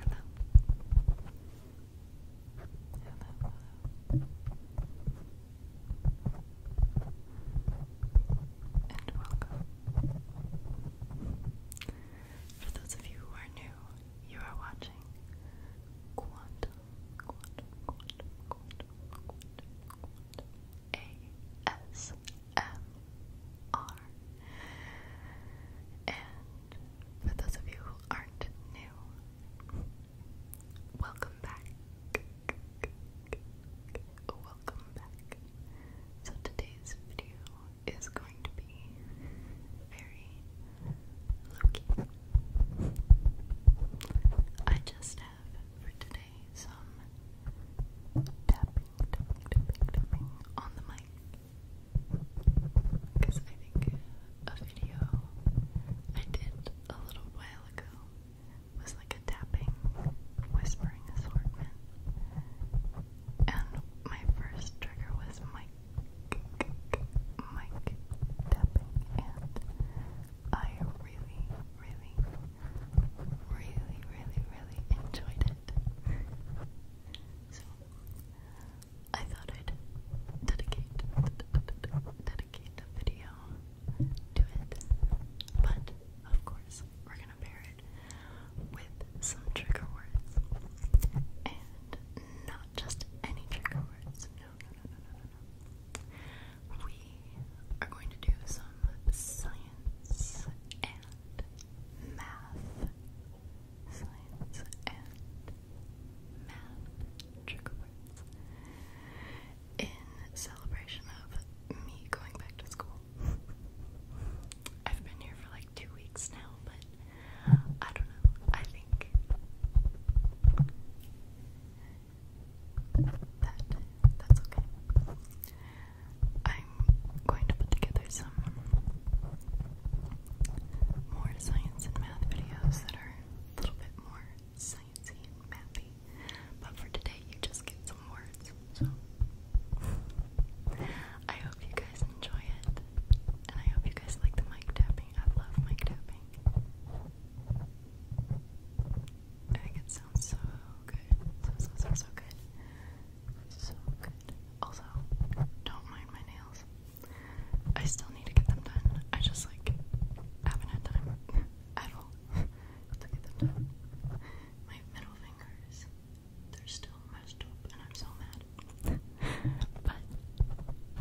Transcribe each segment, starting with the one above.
Hello. Hello. And welcome. For those of you who are new, you are watching Quantum, Quantum, Quantum, Quantum, Quantum, ASMR. And for those of you who aren't new, welcome back. Welcome back. So today's video is going to be very low key. I just have for today some tapping, on the mic. Because I think a video I did a little while ago was like a tapping, whispering assortment. And my first trigger was mic, mic tapping, I really, really, really, really, really enjoyed it. So I thought I'd dedicate dedicate the video to it. But of course we're gonna pair it with some trigger words. And not just any trigger words we are going to do some science and math. Science and math trigger words. In celebration of me going back to school. I've been here for like two weeks now, but I don't know. I think that that's okay. I'm going to put together some more science and math videos that are a little bit more sciencey and mathy. But for today you just get some words. So I hope you guys enjoy it. And I hope you guys like the mic tapping. I love mic tapping. I think it sounds so good. So, so, so, so good. So good. Also, don't mind my nails. I still need to get them done. I just, like, haven't had time at all to get them done. My middle fingers, they're still messed up, and I'm so mad. but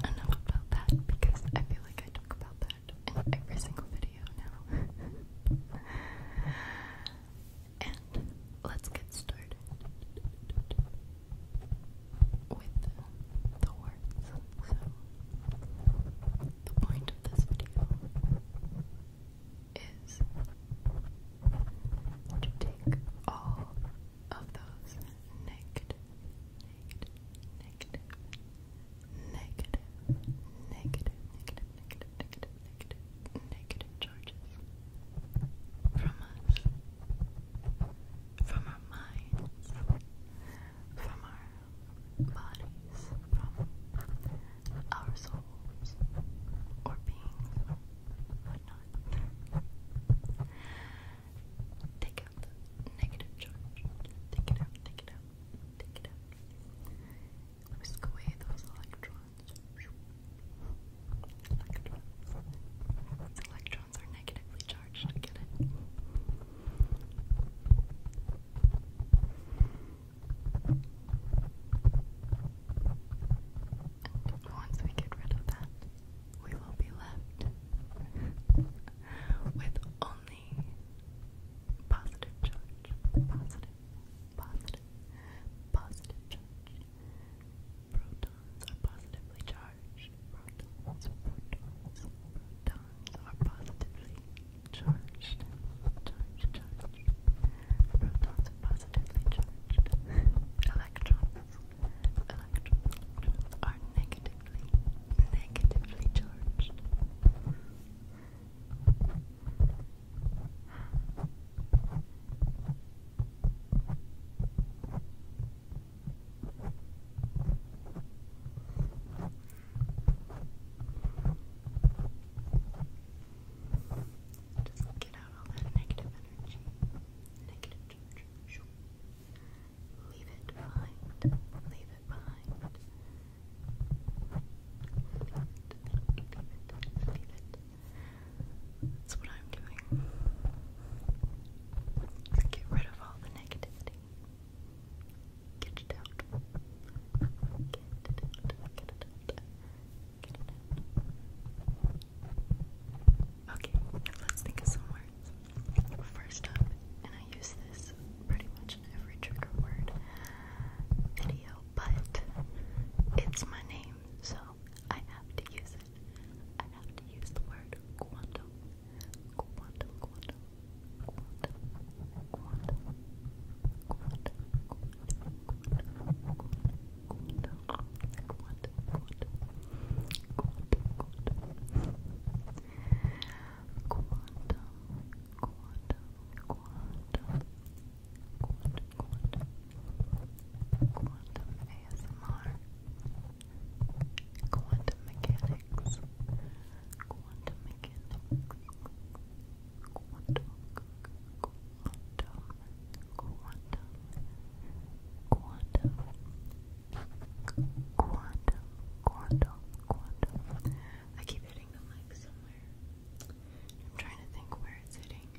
enough about that because I feel like I talk about that in every single video video now. and let's get started with the words. So, the point of this video is to take all of those negative, negative, negative negative, negative, negative, negative, negative, negative, negative charges from us, from our minds, from our bodies, from our souls or beings whatnot. negative charge. Take it out, take it out, Take it out. Whisk away those electrons. Electrons. electrons are negatively charged. Get it? once we get rid of that, we will be left with only only positive charge. Positive, positive, positive charge. Protons are positively charged. Protons, protons, protons are positively charged. Charge, charge. Protons are positively charged. Electrons, electrons, are negatively negatively charged. Just get out all that negative energy, negative charge. Leave it behind. Leave it behind. Leave it. Leave it. Leave it. That's what I'm doing. Get rid of all the negativity. Get it out. Get it out. Get it out. Okay, let's think of somewhere First up, and I use this pretty much in every trigger word video, but it's my name, so I have to use it. I have to use the word quantum. Quantum, quantum, quantum, quantum, quantum, quantum, quantum, quantum, quantum, quantum, quantum, quantum quantum, quantum, quantum, quantum, quantum, quantum ASMR, quantum mechanics, quantum mechanics, quantum, quantum, quantum, quantum, quantum, Quantum, quantum, quantum. I keep hitting the mic somewhere. I'm trying to think where it's hitting.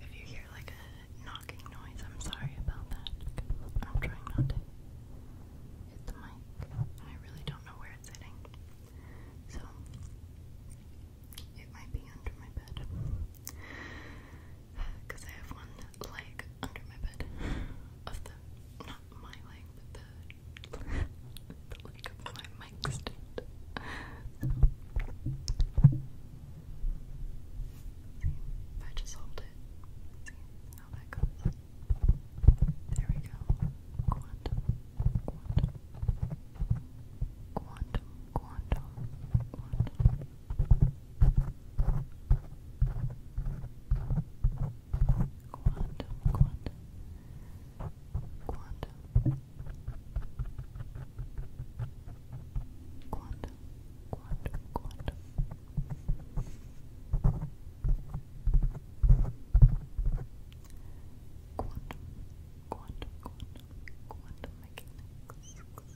If you hear like a knocking noise, I'm sorry about that. I'm trying not to hit the mic, I really don't know where it's hitting. So, it might be under my bed because I have one leg under my bed of the not my leg but the leg of my mic stand. See, if I just hold it, see how that goes. There we go. Quantum, quantum, quantum, quantum, quantum. Quantum, quantum, quantum, quantum, quantum, quantum. Quantum, quantum,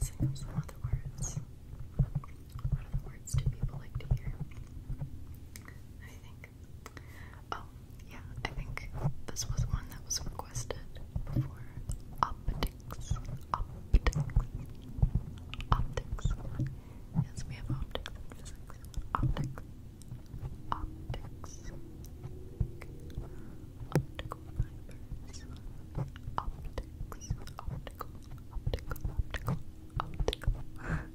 Sing up some other words. What other words do people like to hear? I think. Oh, yeah, I think this was one that was requested before. Optics. Optics. Optics. Yes, we have optics in physics. Optics. Optics. Optical fibers. Optics. Optical. Optical. Optical. Optical. optical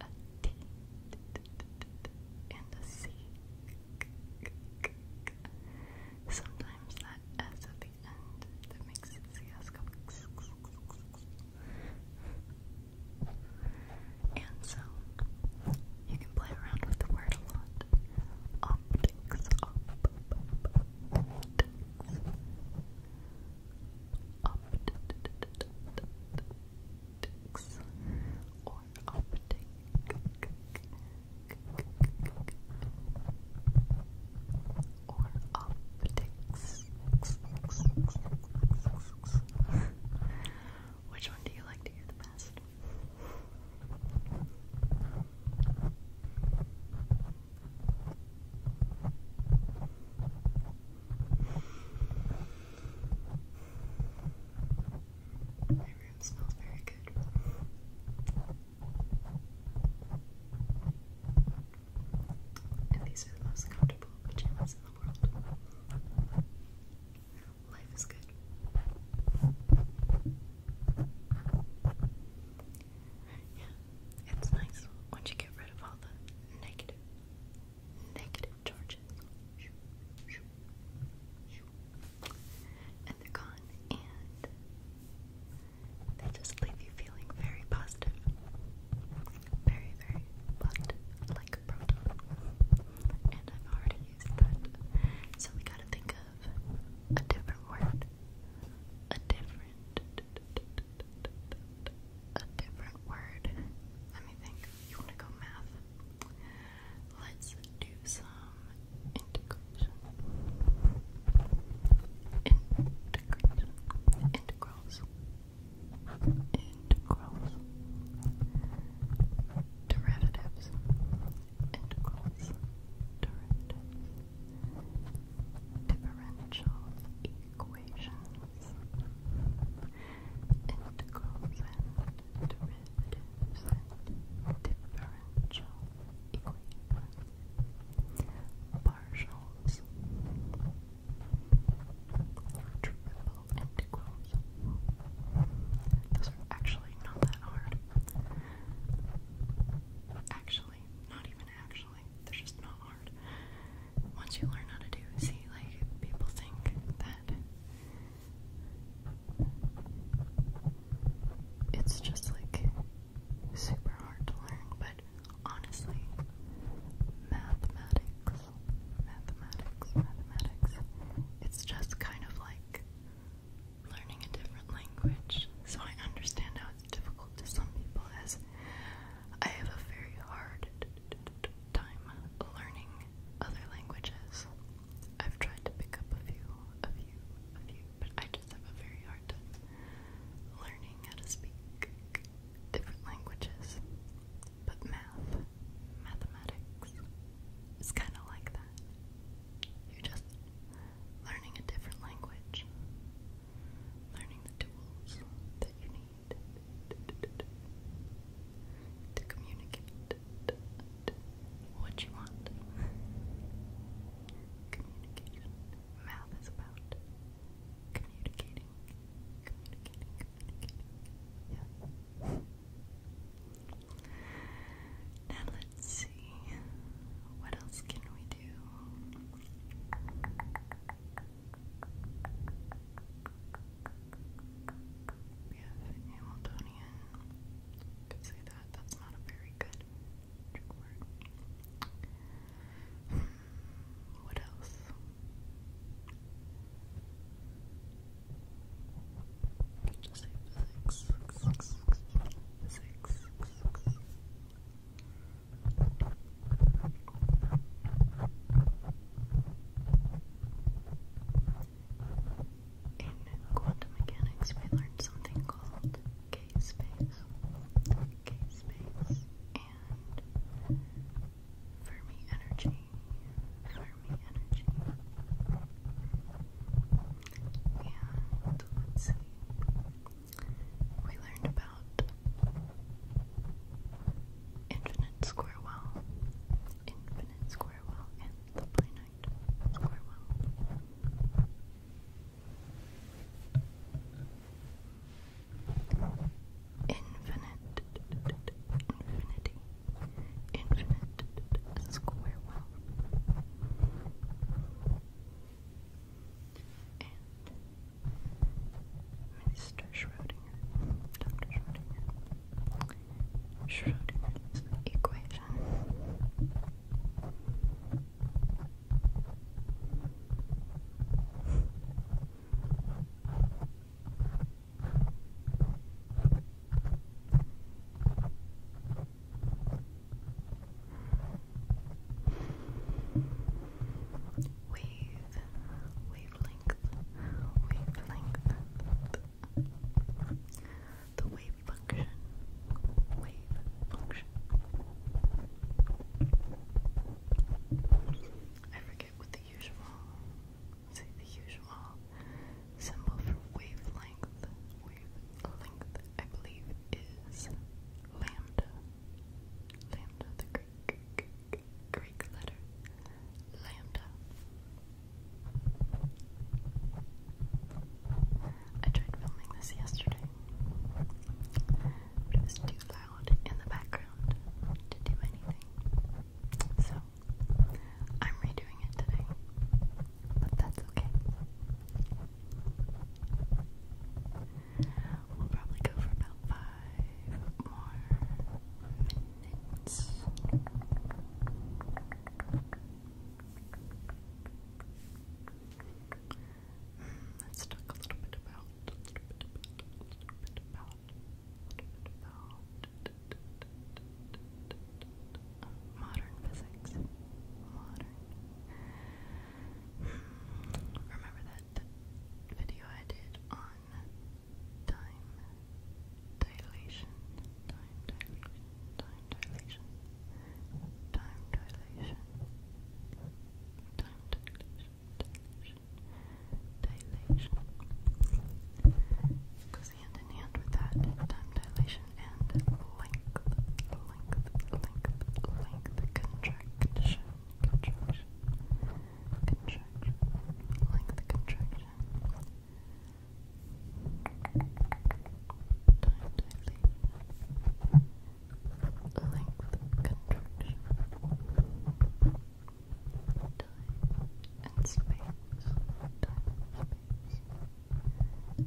a T and a C. Sometimes that S at the end that makes it CS go and so you can play around with the word a lot. Optics, op, optics or optic. Or optics. Which one do you like to hear the best? My room smells very good. And these are the most comfortable pajamas in the world. Life is good. Yeah, it's nice once you get rid of all the negative, negative charges. And they're gone, and they just leave you feeling very positive. Very, very positive, like a proton. And I've already used that. So we gotta think of a different word. A different different a different word. Let me think. You wanna go math? Let's do some integration. Integration. Integrals. Integrals. Derivatives. Integrals. Derivatives differential equations, integrals and derivatives differential equations, partials, triple integrals. Those are actually not that hard. Actually, not even actually. They're just not hard. Once you learn how to do, see, like, people think that it's just like super hard to learn, but honestly, mathematics, mathematics, mathematics, it's just kind of like learning a different language. So I understand how difficult to some people as I have a very hard time learning other languages. I've tried to pick up a few, a few, a few, but I just have a very hard time learning how to speak different languages. But math, mathematics, is kind of like that. You're just learning a different language learning the tools that you need to communicate what you want. Communication. Math is about communicating. Communicating, communicating. Yeah. Now let's see what else can we do? We have Hamiltonian. Could say that. That's not a very good word. What else? Just in quantum mechanics, we learned something called K space, K space, and Fermi energy, Fermi energy. And let's see, we learned about infinite square well, infinite square well, and the finite square well. Infinite, infinity, infinite square well and Mr. Schrodinger, Dr. Schrodinger, Schrodinger's equation wave, wavelength, wavelength, the wave function, wave function. I forget what the usual, say the usual symbol for wavelength wave length, I believe, is lambda. Lambda, the Greek, Greek letter. Lambda. I tried filming this yesterday, but it was too loud in the background to do anything. So, I'm redoing it today but that's okay. We'll probably go for about five more minutes. let's hmm, talk a little bit about. Modern physics. Hmm, remember that video I did on time dilation? Time dilation. Time dilation. Time dilation. Time dilation. Dilation. Dilation. It goes hand in hand with that. Time dilation contraction and length, length, length, length, contraction, contraction, contraction, length, contraction. Time dilation. Length contraction. Time and space bitch. Next What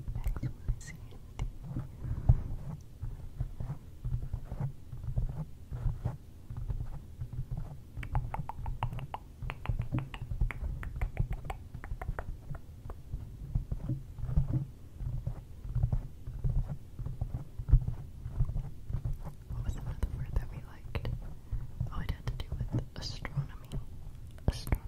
was another word that we liked? Oh, it had to do with astronomy. Astronomy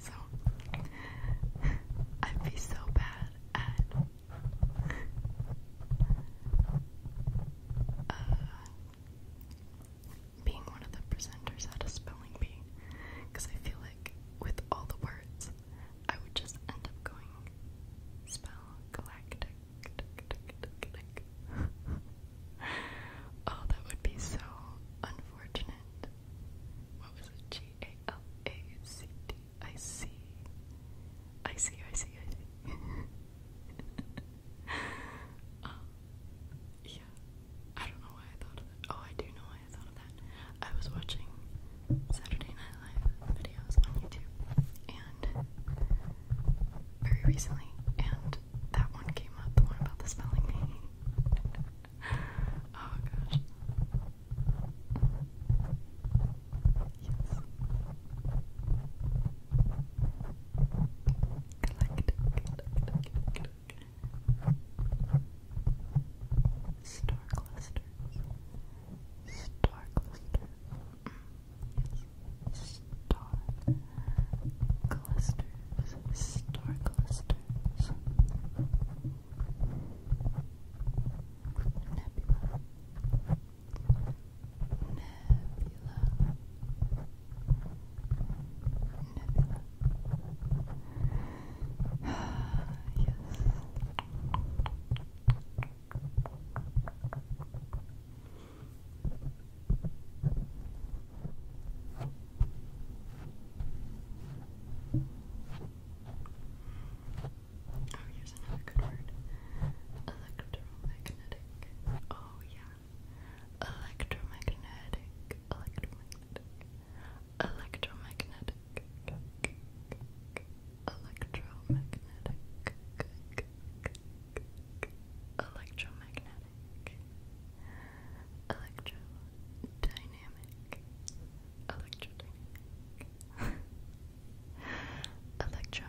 so I'd be so bad at uh, being one of the presenters at a spelling bee because I feel like with all the words, I would just end up going spell galactic. oh, that would be so unfortunate what was it? G A L A C D I C. I see, I see, I see. um, yeah, I don't know why I thought of that. Oh, I do know why I thought of that. I was watching Saturday Night Live videos on YouTube, and very recently, and that one came up, the one about the spelling bee oh gosh. Yes. Collect, Star clusters. Mm. Star clusters. Star clusters. Star clusters. Stars. Nebula. yes. Oh, here's another good word. Electromagnetic. Oh yeah. Electromagnetic. Electromagnetic. Electromagnetic. Electromagnetic. Electromagnetic electrodynamic, electrodynamic, electromagnetic.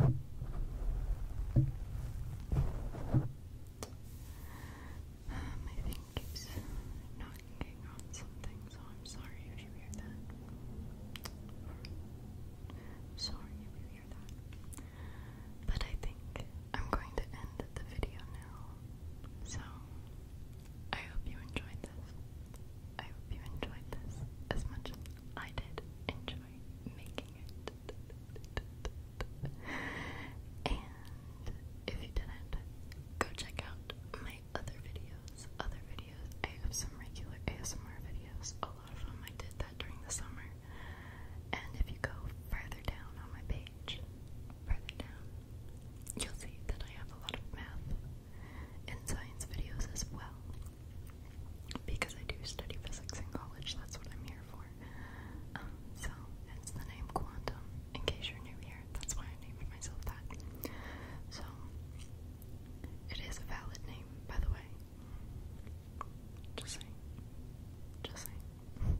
Um, I think keeps knocking on something, so I'm sorry if you hear that. sorry if you hear that. But I think I'm going to end the video now. So, I hope you enjoyed this. I hope you enjoyed this as much I did enjoy making it. And if you didn't, go check out my other videos. Other videos. I have some regular ASMR videos. A lot of them I did that during the summer. And if you go further down on my page, further down, you'll see that I have a lot of math and science videos as well because I do study physics in college, that's what I'm here for. Um, so it's the name Quantum, in case you're new here, that's why I named myself that. So it is a valid name, by the way. Just saying. Just saying.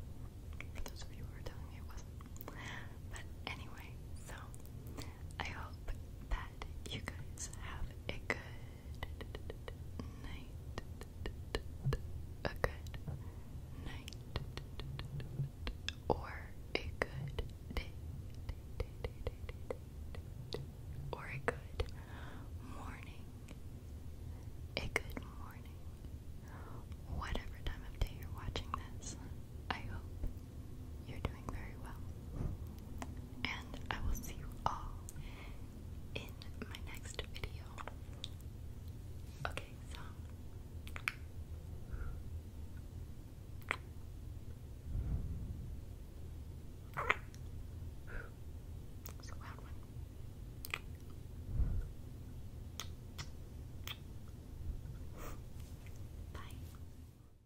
For those of you who were telling me it wasn't. But anyway, so I hope that you guys have a good night. A good night. Or a good day. Or a good morning. A good morning. Whatever time of day you're watching this, I hope you're doing very well. And I will see you all in my next video. Okay, so. It's a loud one. Bye.